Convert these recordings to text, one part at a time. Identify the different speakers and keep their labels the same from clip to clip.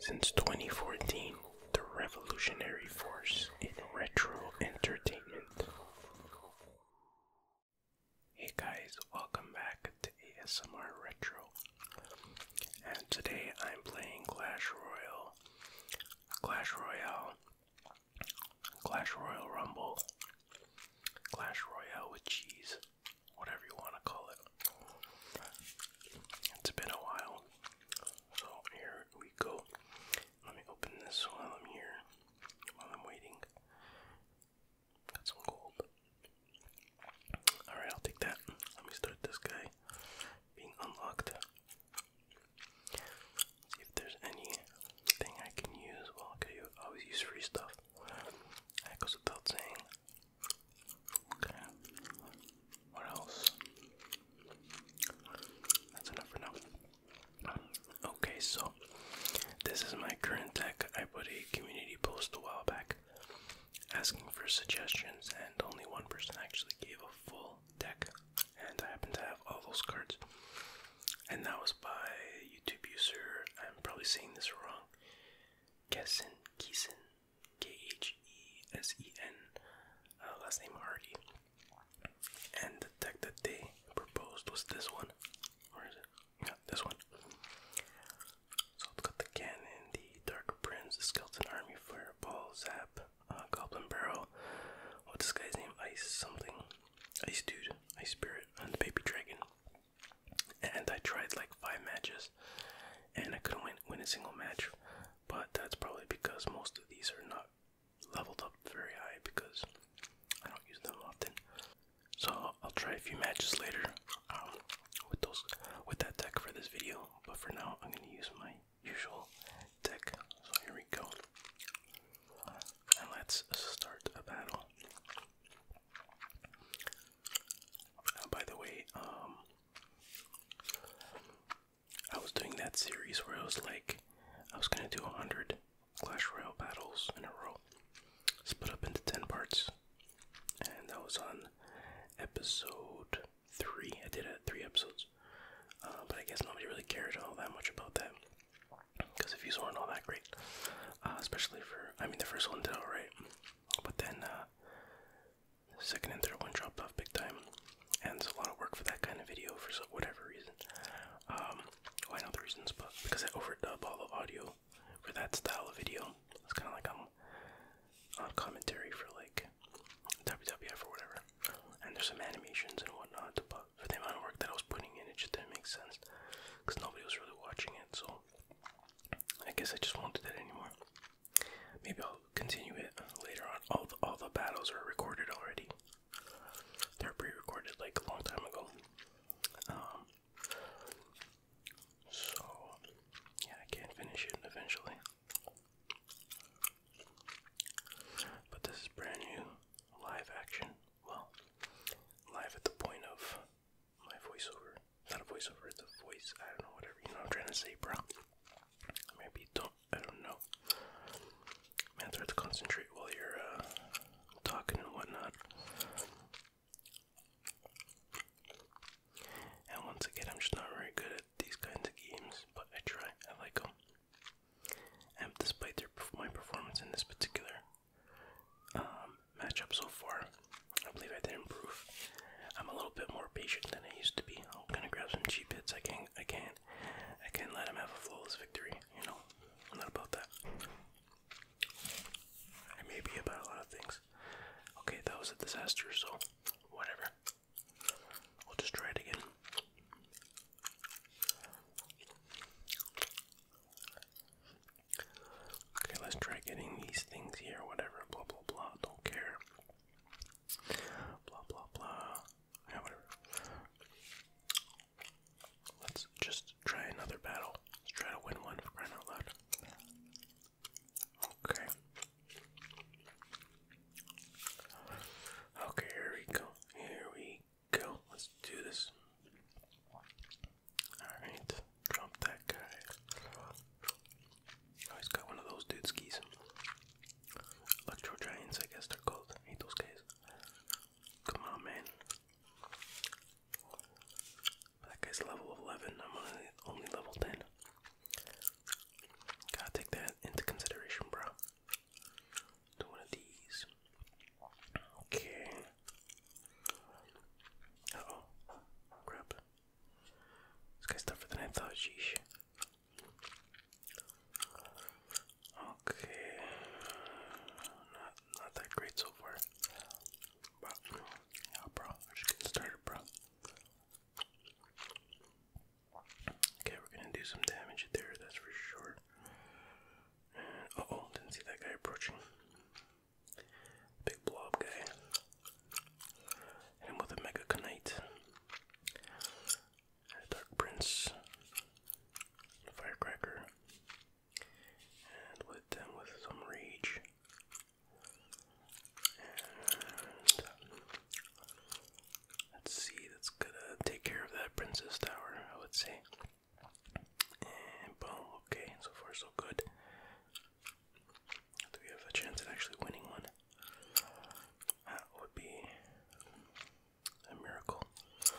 Speaker 1: Since 2014, the revolutionary force in retro entertainment. Hey guys, welcome back to ASMR Retro. And today I'm playing Clash Royale, Clash Royale, Clash Royale Rumble, Clash Royale with cheese, whatever you want to call it. It's been a while. So here we go. Let me open this while I'm here, while I'm waiting. Got some gold. Alright, I'll take that. Let me start this guy being unlocked. See if there's anything I can use. Well, okay, always use free stuff. That goes without saying. Okay. What else? That's enough for now. Okay, so this is my current deck. I put a community post a while back asking for suggestions, and only one person actually gave a full deck, and I happen to have all those cards. And that was by YouTube user. I'm probably saying this wrong. Kessin, Keeson, K H E S E N, uh, last name Hardy. And the deck that they proposed was this one. Where is it? Yeah, this one. So it's got the cannon, the dark prince, the skeleton army, fireball, zap, uh, goblin barrel. What's this guy's name? Ice something. Ice dude, ice spirit, and the baby dragon. And I tried like five matches and I couldn't win, a single match. But that's probably because most of these are not leveled up very high because I don't use them often. So I'll try a few matches later um, with those with that deck for this video. But for now, I'm gonna use my usual deck. So here we go, and let's start a battle. Uh, by the way, um, I was doing that series where I was like, I was gonna do 100 Clash Royale battles in a row, split up into 10 parts, and that was on episode 3. I did uh, 3 episodes, uh, but I guess nobody really cared all that much about that because the views weren't all that great, uh, especially for, I mean, the first one did alright, but then Second and third one dropped off big time, and it's a lot of work for that kind of video for so whatever reason. Um, I know the reasons, but because I overdub all the audio for that style of video, it's kind of like I'm on commentary for like WWF or whatever. And there's some animations and whatnot, but for the amount of work that I was putting in, it just didn't make sense because nobody was really watching it. So I guess I just won't do that anymore. Maybe I'll continue it later on. All the, all the battles are recorded already. They're pre-recorded like a long time ago. Um, so yeah, I can finish it eventually. But this is brand new live action. Well, live at the point of my voiceover not a voiceover, it's a voice. I don't know, whatever you know what I'm trying to say, bro. Maybe don't, I don't know. Man, it's to concentrate while you're uh, talking and whatnot. And once again, I'm just not very good at these kinds of games, but I try, I like them. And despite their, my performance in this particular um, matchup so far, I believe I did improve. I'm a little bit more patient than I used to be. I'm gonna grab some cheap hits. I can't. I can I can let him have a flawless victory. You know, not about that. I may be about a lot of things. Okay, that was a disaster. So, whatever. We'll just try it again. Okay, let's try getting these things here, whatever, blah blah blah, don't care. Blah blah blah. whatever. Let's just try another battle. Let's try to win one for out loud. Okay. Okay, here we go. Here we go. Let's do this. Alright, drop that guy. Oh, he's got one of those dude skis. Electro Giants, I guess they're called. hate those guys. Come on, man. That guy's level 11. I'm only, level 10. Gotta take that into consideration, bro. Do one of these. Okay. oh. Crap. This guy's tougher than I thought. Sheesh. Okay, not not that great so far, but yeah, bro, just getting started, bro. Okay, we're gonna do some damage there, that's for sure. oh, didn't see that guy approaching. Big blob guy and with a Mega Knight, Dark Prince, Firecracker, and with them with some Rage, let's see, that's gonna take care of that Princess Tower, I would say. And boom, okay, so far so good. Do we have a chance at actually winning one? That would be a miracle. I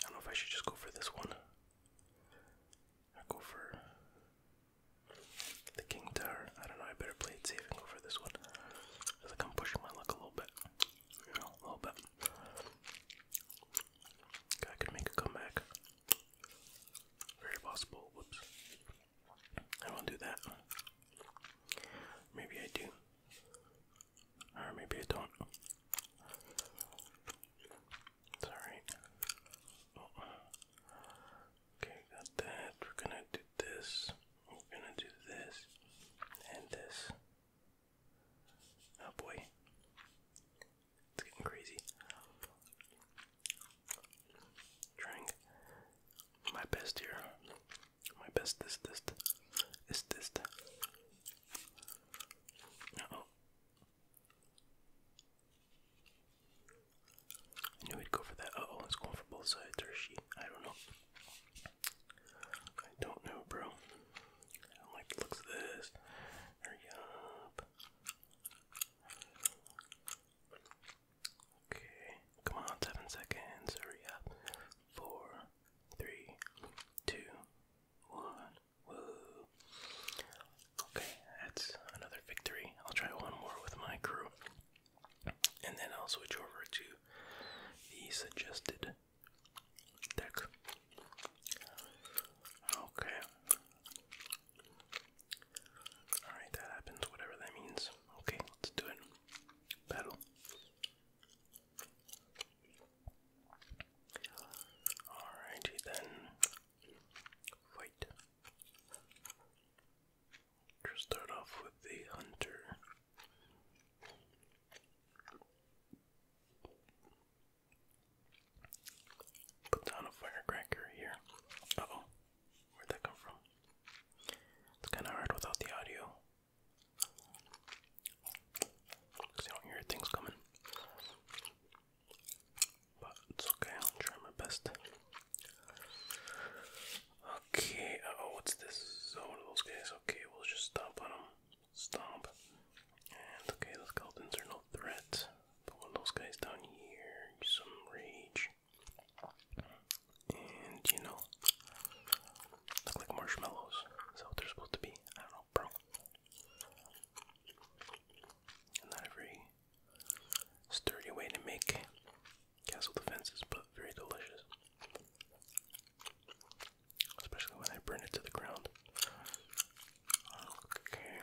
Speaker 1: don't know if I should just go for this one. I go for the king tower. I don't know. I better play it safe and go for this one. I think I'm pushing my luck a little bit. a little bit. I could make a comeback. Very possible. Whoops. I won't do that. Maybe I do. Or maybe I don't. It's oh. Okay, that. We're gonna do this. We're gonna do this. And this. Oh boy. It's getting crazy. Trying my best here. My best is this is this. oh. knew he'd go for that. oh, it's going for both sides, or I don't know. I don't know, bro. I don't like the looks of this. Hurry up. Okay, come on, seven seconds. Hurry up. Four, three, two, one. Whoa. Okay, that's another victory. I'll try one more with my crew. And then I'll switch over to the suggested deck. Okay. Alright, that happens, whatever that means. Okay, let's do it. Battle. Alrighty then. Fight. Just start off with the hunter. Put down a firecracker here. oh. Where'd that come from? It's kind of hard without the audio. Because I don't hear things coming. But it's okay, I'll try my best. Okay, oh, what's this? Oh, one of those guys. Okay, we'll just stomp on them. Stomp. And okay, the skeletons are no threat. But one of those guys down here, some rage. And you know, look like marshmallows. Is they're supposed to be? I don't know, bro. Not a sturdy way to make castle defenses, but very delicious. Especially when I burn it to the ground. Okay.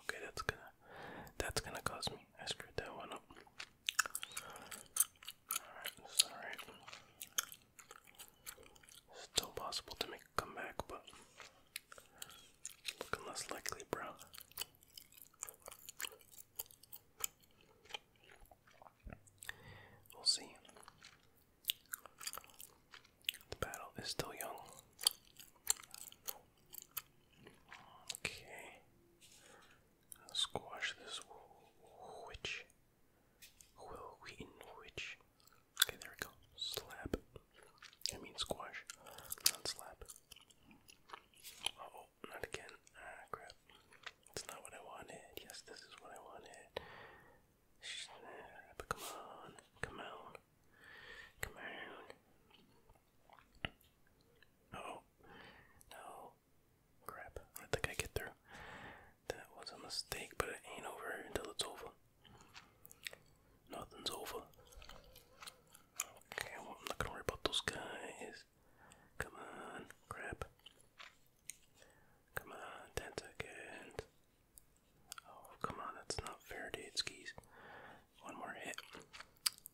Speaker 1: Okay, that's gonna that's gonna cost me. I screwed that one up. Alright, that's Still possible to make comeback, but looking less likely, bro. We'll see. The battle is still young. Okay. squash this witch. Will we witch? Okay, there we go. Slap. I mean squash, not slap. oh, not again. Ah, crap. It's not what I wanted. Yes, this is what I wanted. But come on, come on, come on. oh, no. Crap. I think I get through. That was a mistake, but it ain't over until it's over. Nothing's over. Okay, well, I'm not gonna worry about those guys. Come on. Crap. Come on. 10 seconds. Oh, come on. That's not Faraday's keys one more hit,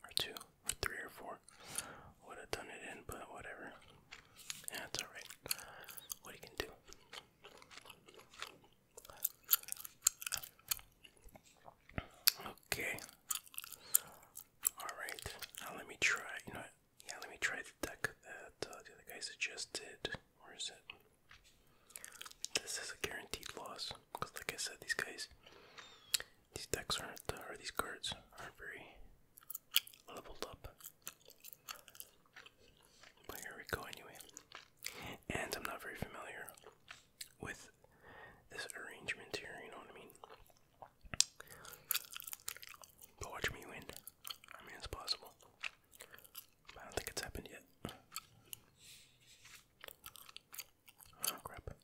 Speaker 1: or two, or three, or four would have done it in, but whatever. Yeah, it's alright. What you can do. Okay. Alright. Now let me try, you know, yeah, let me try the deck that uh, the other guy suggested. Where is it? This is a guaranteed loss. Because, like I said, these guys these decks aren't, uh, or these cards aren't very leveled up. But here we go anyway. And I'm not very familiar with this arrangement here, you know what I mean? But watch me win. I mean, it's possible. I don't think it's happened yet. Oh crap. I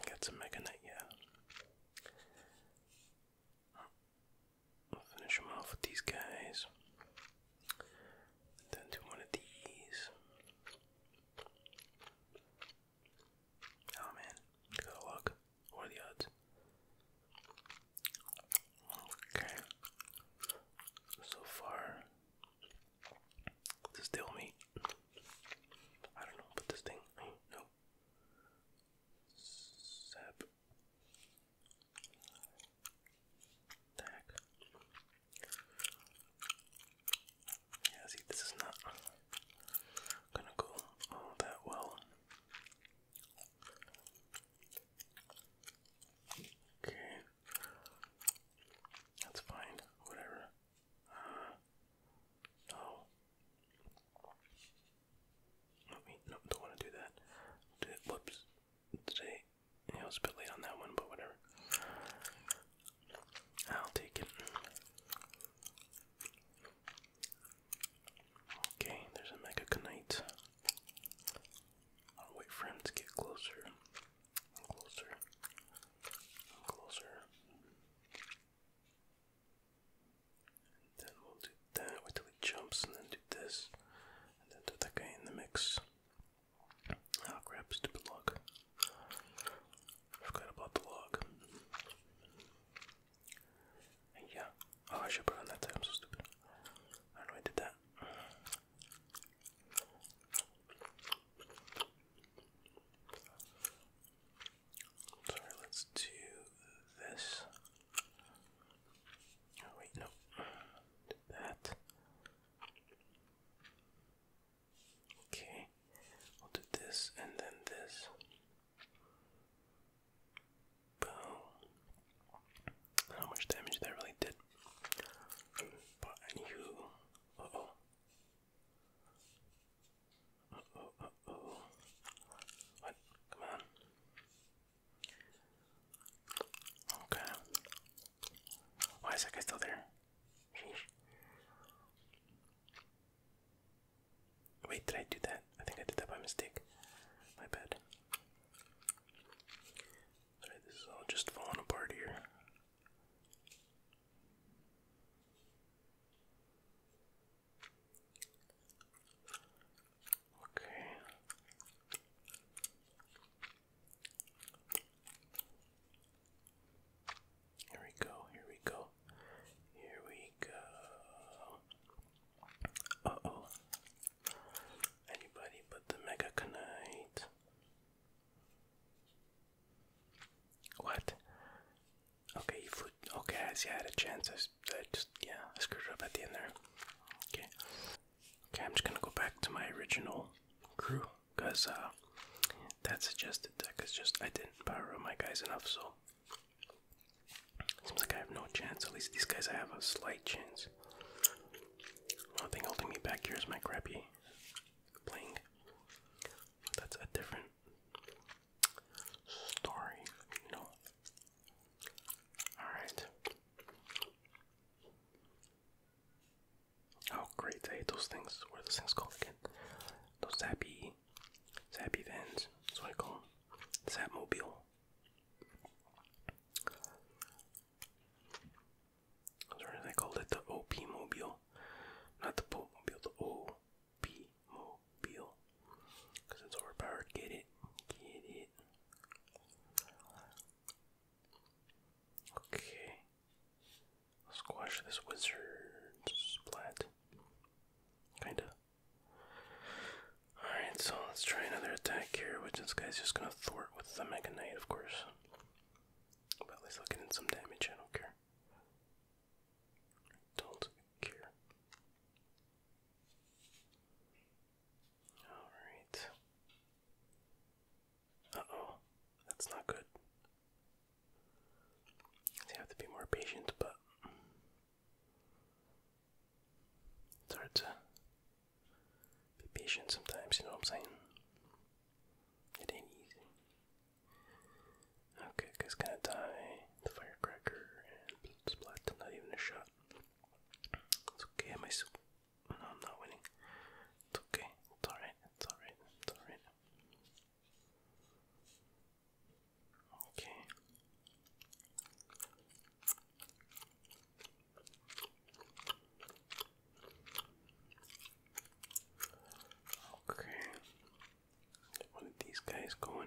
Speaker 1: think that's a mega knight, yeah. finish them off with these guys. Then do one of these. Oh man, look luck. What are the odds? Okay. So far, this deal me, I don't know, but this thing. no. Sap. Tag. Yeah, see, this is not gonna go all that well. Okay. That's fine. Whatever. Uh, no. Oh. No, no, don't want to do that. whoops. Today, I was a bit late on that one, but whatever. I'll take it. Okay, there's a Mega I'll wait for him to get closer and closer and closer. And then we'll do that, wait till he jumps, and then do this, and then do that guy in the mix. I'll grab stupid log. Forgot about the log. yeah. Oh, I should put on that time so stupid. I do I did that. Sorry, let's do this. Oh, wait, no. that. Okay, we'll do this and then this. Boom. how much damage that really did. But anywho, uh-oh. Uh-oh, uh-oh. What? Come on. Okay. Why is that guy still there? Sheesh. Wait, did I do that? I think I did that by mistake. My bad. Alright, this is all just falling apart here. Okay. Here we go, here we go, here we go. Uh oh. Anybody but the Mega Knight. What? Okay, you flew. Okay, I see. I had a chance. I, I just, yeah, screwed up at the end there. Okay. Okay, I'm just gonna go back to my original crew because uh, that suggested that because just I didn't power up my guys enough, so seems like I have no chance. At least these guys, I have a slight chance. One thing holding me back here is my crappy playing. That's a different story, you know. Alright. Oh great, I hate those things. What are those things called again? Those zappy zappy vans. That's what I call sorry, they called it the OP Mobile, not the Pope Mobile, the OP Mobile, because it's overpowered. Get it, get it. Okay, squash this wizard splat, kinda. Alright, so let's try another attack here, which this guy's just gonna thwart with the Mega Knight, of course. But at least I'll get some damage, I don't care. Don't care. Alright. Uh oh, that's not good. you have to be more patient, but it's hard to be patient sometimes, you know what I'm saying? It ain't easy. Okay, guy's gonna die. The firecracker and splat. Not even a shot. It's okay. Am I No, I'm not winning. It's okay. It's alright. It's alright. It's alright. Okay. Okay. One of these guys going.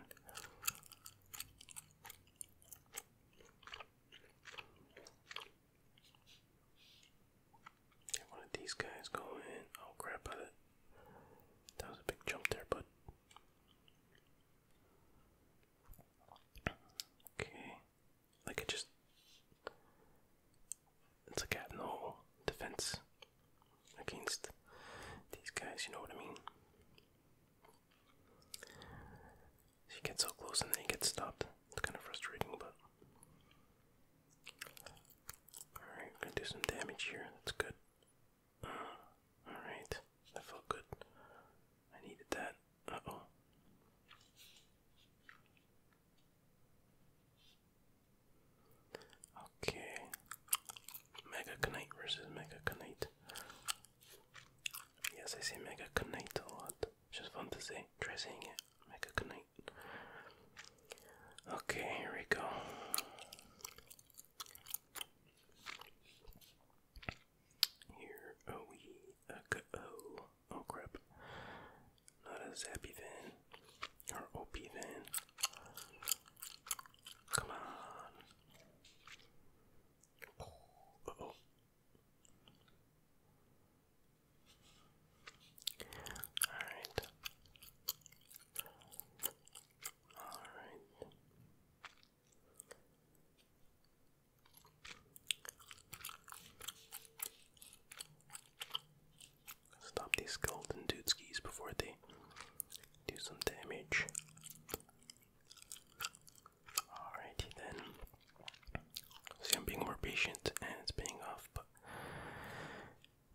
Speaker 1: Get one these guys going. Oh crap! that was a big jump there, but okay. Like it just it's like I have defense against these guys, you know what I mean? You get so close and then he gets stopped. It's kinda frustrating but Alright, we're gonna do some damage here. That's good. Uh, alright, that felt good. I needed that. Uh oh. Okay. Mega Knight versus Mega Knight. Yes, I say Mega Knight a lot. Just fun to say. Try it. Mega Knight. Okay, here we go. Here we go. Oh crap. Not a Zappy then, Or OP then. Come on. Alright. Alright. Stop these golden dude skis before they do some damage. Alrighty then. See, I'm being more patient and it's paying off, but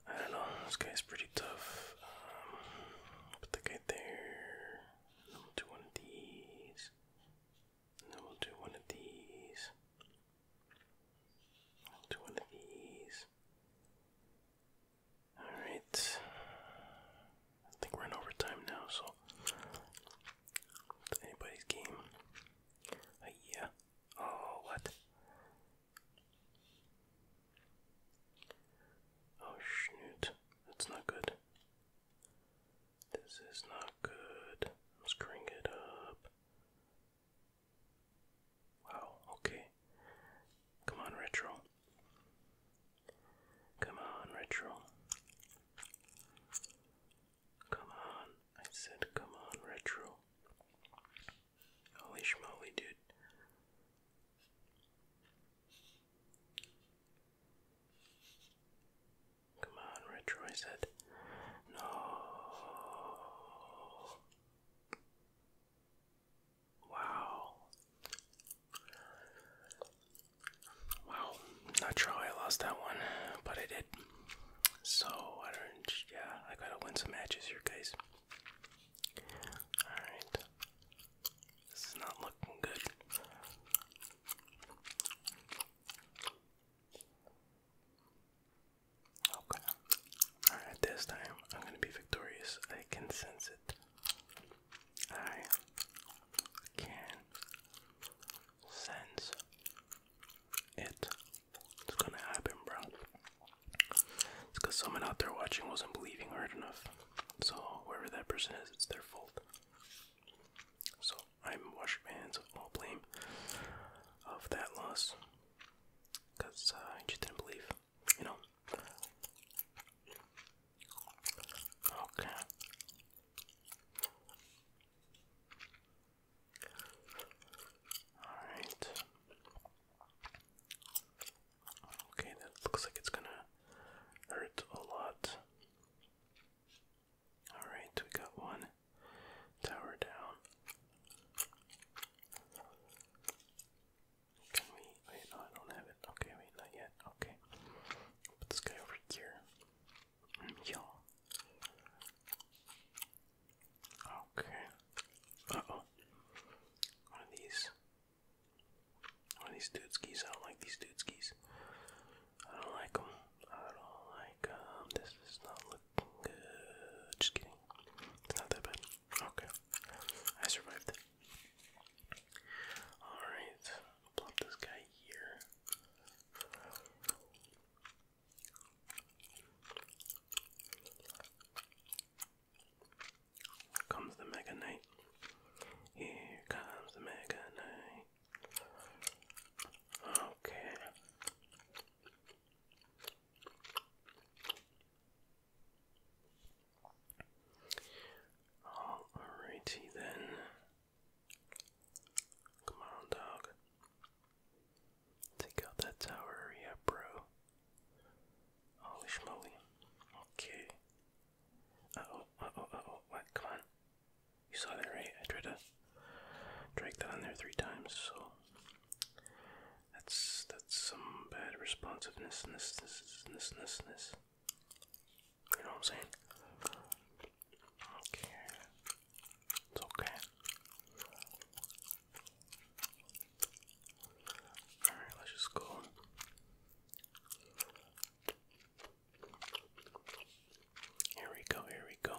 Speaker 1: I don't know. This guy's pretty tough. Um, put the guy there. then we'll do one of these. then we'll do one of these i of these. Alright. I think we're in overtime now, so anybody's game. Uh, yeah. Oh, what? Oh, shoot. That's not good. This is not good. i it up. Wow, okay. Come on, Retro. Come on, Retro. Come on. I said, come on, Retro. Holy smoly, dude. Come on, Retro, I said. No. Wow. Wow. Not sure how I lost that one, but I did. So, I don't, yeah, I gotta win some matches here, guys. Alright. This is not looking good. Okay. Alright, this time I'm gonna be victorious. I can sense it. I can sense it. It's gonna happen, bro. It's someone out there watching wasn't believing hard enough. So, whoever that person is, it's their fault. So, I'm washing hands of all blame of that loss because I uh, just didn't believe, you know. Okay. All right. Okay, that looks like it's gonna hurt a lot. All right, we got one. Tower down. Can we? Wait, no, I don't have it. Okay, wait, not yet. Okay. Put this guy over here. Mm, Yo. Okay. Uh oh. One of these. One of these dude skis. I don't like these dude skis. I don't like them. I don't like them. Um, this is not just kidding. It's not that bad. Okay. I survived Alright. Plop this guy Here comes the Mega Knight. Here comes the Mega Knight. Okay. Oh, alrighty then. Come on, dog. Take out that tower, yeah, bro. Holy schmoly. Okay. Uh oh, oh, oh, what? Come on. You saw that, right? I tried to drag that on there three times, so that's that's some bad responsiveness. -ness -ness -ness -ness -ness. You know what I'm saying? Okay, it's okay. All right, let's just go. Here we go. Here we go.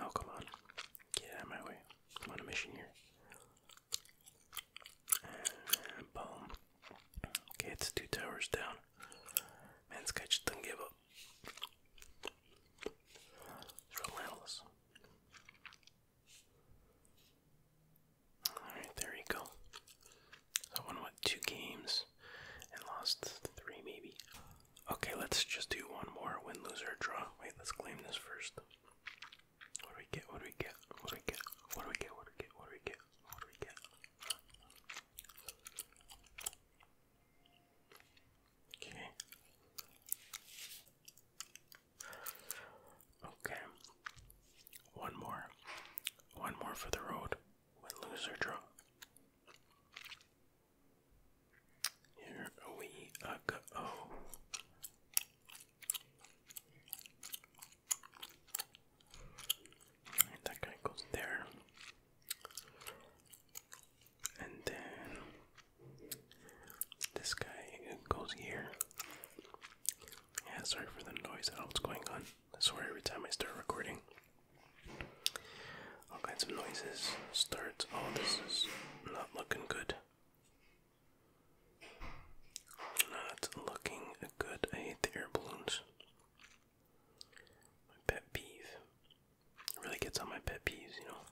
Speaker 1: Oh, come on. Get out my way. I'm on a mission here. boom. Okay, it's two towers down. Man, this guy just doesn't give up. relentless. Alright, there you go. I won, what, two games and lost three, maybe? Okay, let's just do one more win, lose, or draw. Wait, let's claim this first. What do we get? What do we get? What do we get? What do we get? What do we get? What do we get? Okay. Okay. One more. One more for the road. Win, lose, or draw. Here we go. And that guy goes there. And then this guy goes here. Yeah, sorry for the noise. I don't know what's going on. Sorry, every time I start recording, all kinds of noises start. Oh, this is not looking good. Not looking good. I hate the air balloons. My pet peeve. really gets on my pet peeves, you know.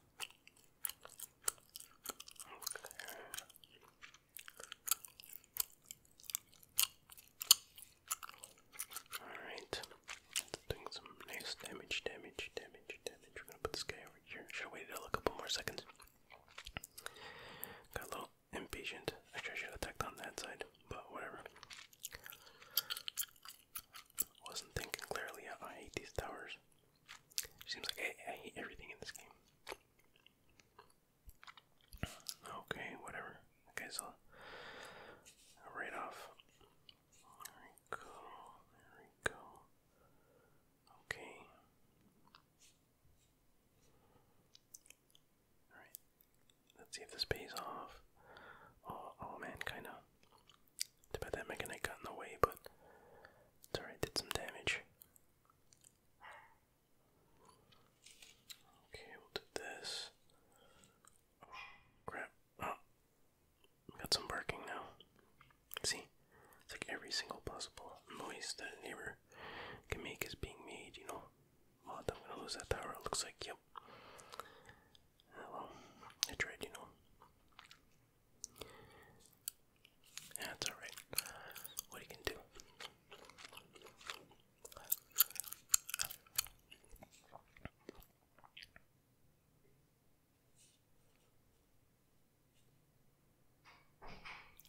Speaker 1: Alright. Doing some nice damage, damage, damage, damage. We're gonna put this guy should have a couple more seconds. Got a little impatient. Actually, I should have attacked on that side, but whatever. Wasn't thinking clearly. I hate these towers. Seems like I, I hate everything in this game. Okay, whatever. Okay, so right off. There we go. There we go. Okay. Alright. Let's see if this pays off. Oh, oh man, kinda. Too bad that mechanic got in the way, but it's alright, did some damage. Okay, we'll do this. Oh, Oh got some barking now. See, it's like every single possible noise that a neighbor can make is being made, you know. Mod, I'm gonna lose that tower, looks like, yep. well, I tried, you know. That's yeah, alright. What you can do.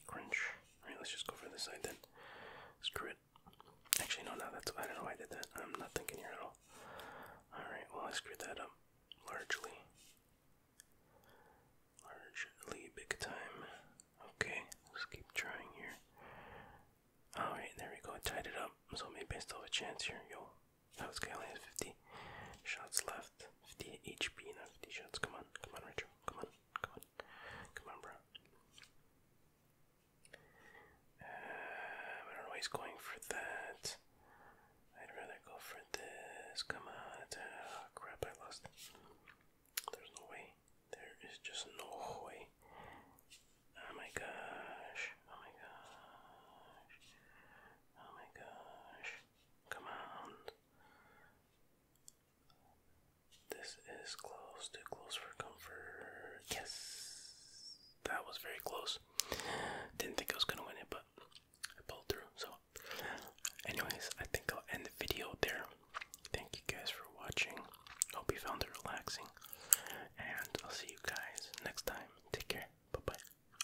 Speaker 1: Crunch. Alright, let's just go for this side then. Screw it. Actually, no, no, that's, I don't know why I did that. I'm not thinking here at all. Alright, well, I screwed that up. Largely. Largely big time. Okay, let's keep trying here. Alright, there we go. tied it up, so maybe still a chance here. Yo, that was guy only has shots left. 50 HP and 50 shots. Come on, come on, Rachel. Come on, come on, come on, bro. Uh, I don't know he's going for that. I'd rather go for this. Come on. Ah, crap, I lost. There's no way. There is just no way. Oh my gosh. Oh my gosh. Oh my gosh. Come on. This is close, too close for comfort. Yes, that was very close. Didn't think I was gonna win it, but I pulled through. So, anyways, I think I'll end the video there. Thank you guys for watching. Hope you found it relaxing, and I'll see you guys next time. Take care. Bye bye.